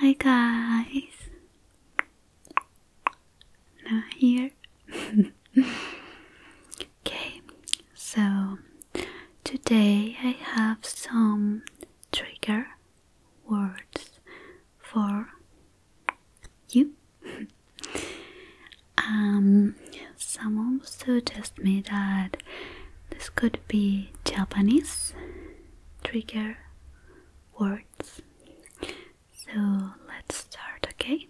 Hi guys. Now here. okay. So today I have some trigger words for you. um someone suggested me that this could be Japanese trigger words. So let's start, okay?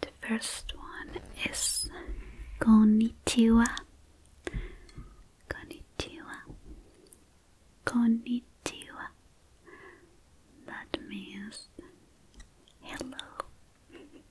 The first one is "konichiwa." Konichiwa. Konichiwa. That means hello.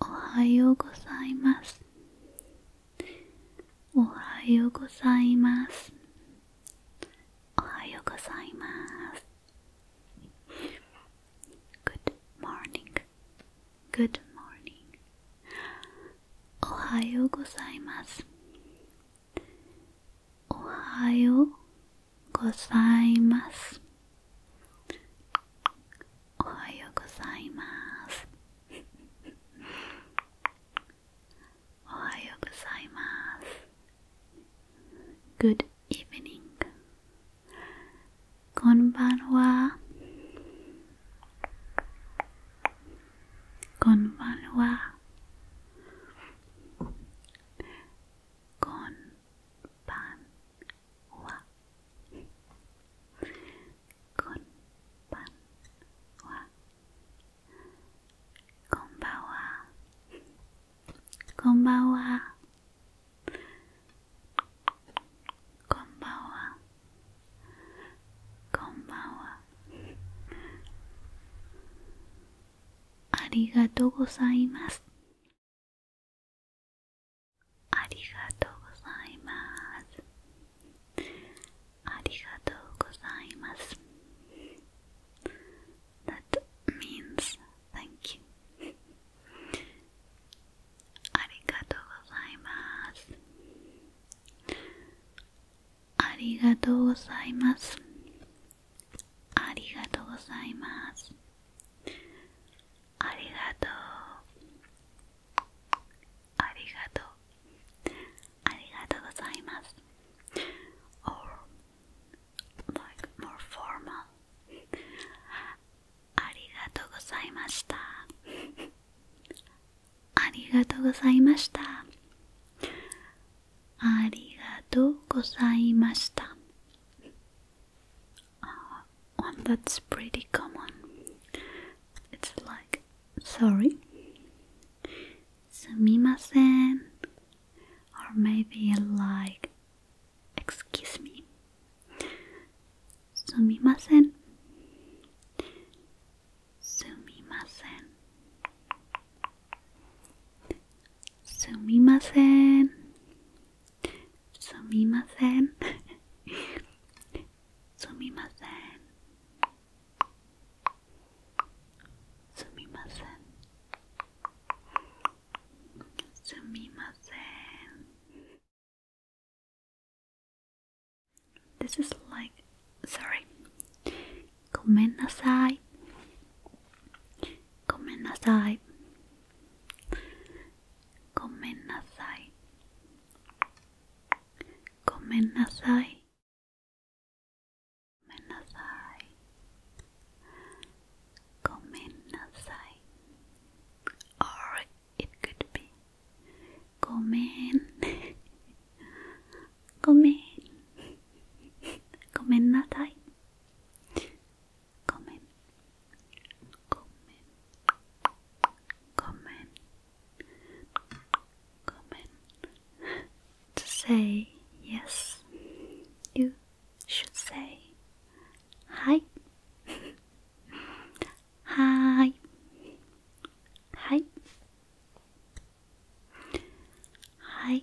おはようございますおはようございますおはようございますございますおはようございます。おはようございます。おはようございます。おはようございます。Good evening. こんばんは。こんばんは。こんばんこんばんはこんばんはこんばんはこんばんはこんばんはありがとうございますありがとうございますありがとうございます That means thank you ありがとうございますありがとうございますありがとうございますありがとうありがとうありがとうございますありがとうございましたありがとうございましたありがとうございました one uh, that's pretty common. It's like sorry, sumimasen, or maybe like excuse me, sumimasen, sumimasen, sumimasen. Sumimasen. Sumimasen. Sumimasen. Sumimasen. This is like sorry. Gomen nasai. Gomen nasai. Gomen nasai. Gomen nasai. Gomen nasai. Gomen nasai. Or it could be Gomen. Gomen. Gomen nasai. Comen. Comen. Comen. Comen. To say yes, you should say hi. hi. Hi. Hi.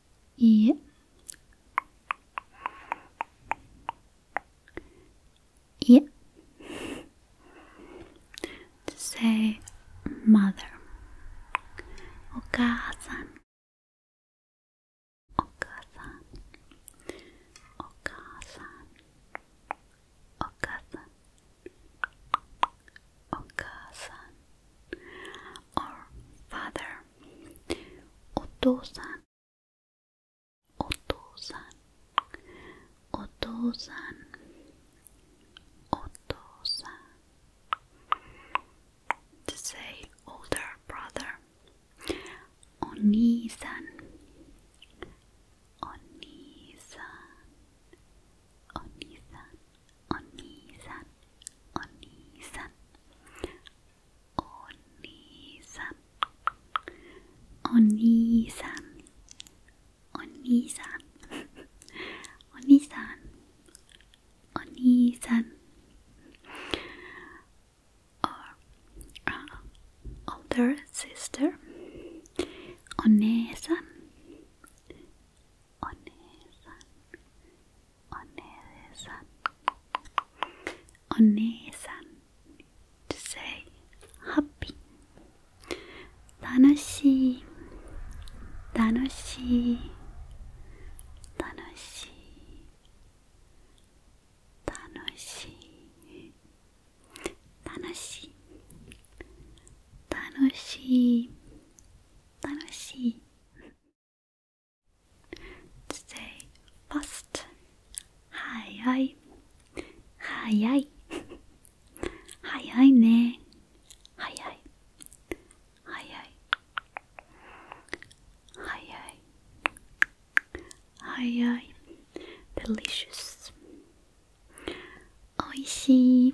E E to say mother Okasan Okasan Okasan Okasan Okasan or father Otosan お父さんお父さんお父さん to say older brother お兄さんお兄さんお兄さんお兄さんお兄さん Onisan Onisan Onisan Onisan Onisan or uh, older sister Onesan Onesan お姉さんお姉さん to say happy 楽しい楽しい楽しい楽しい楽しい楽しい楽しい Say fast. Hayai. Hayai. Hayai ne. Hayai. Hayai. Hayai. Hayai. Delicious. Oishi.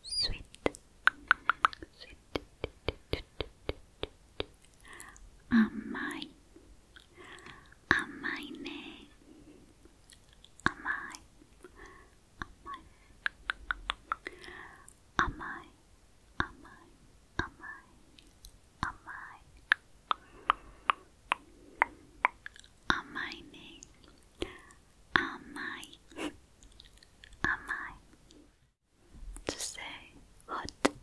sweet, sweet, amai, amai ne, amai, amai, amai, amai, amai, amai, amai ne am I? am I? To say hot, hot,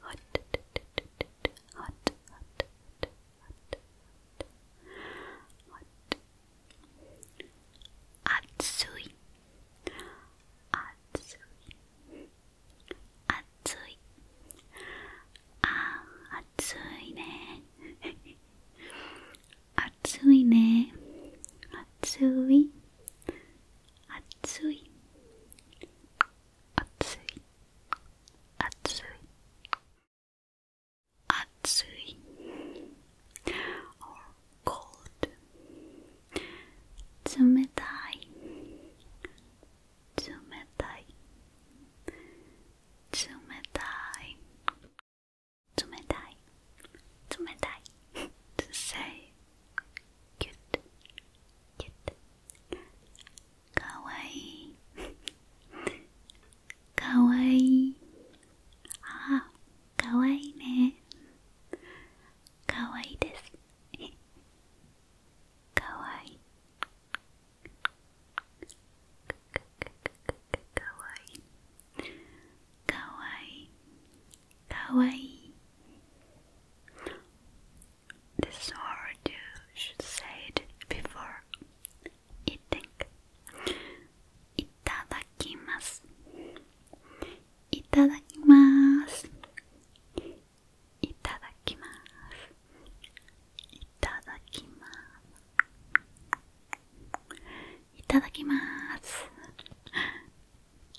hot, hot, hot, hot, hot. Atsui, atsui, atsui. ああ、暑いね。Ah, 暑いね暑い暑い暑い暑い暑い or cold 冷たい冷たい冷たい冷たい冷たいと a y ぎゅっと、ぎゅっと…かわいいかわいいああかわいいねかわいいですかわいい kawaii this word you should say it before eating itadakimasu itadakimasu itadakimasu itadakimasu いただきまーす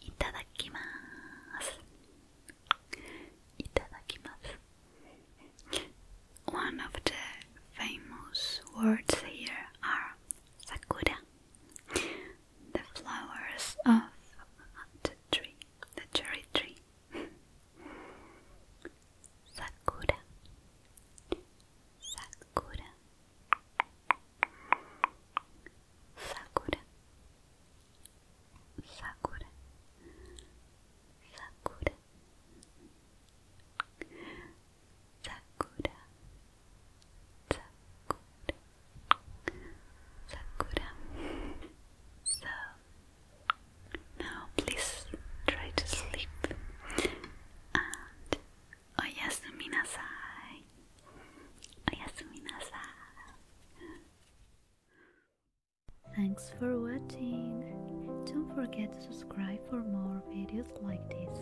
いただきまーすいただきます One of the famous words here are sakura, the flowers of the tree, the cherry tree. sakura, Sakura Sakura Sakura Sakura Sakura Sakura So now please try to sleep and oyasumi nasai. Oyasumi nasai. Thanks for watching. Don't forget to subscribe for more videos like this.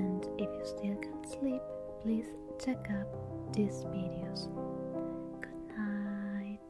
And if you still can't sleep, please check out these videos. Good night.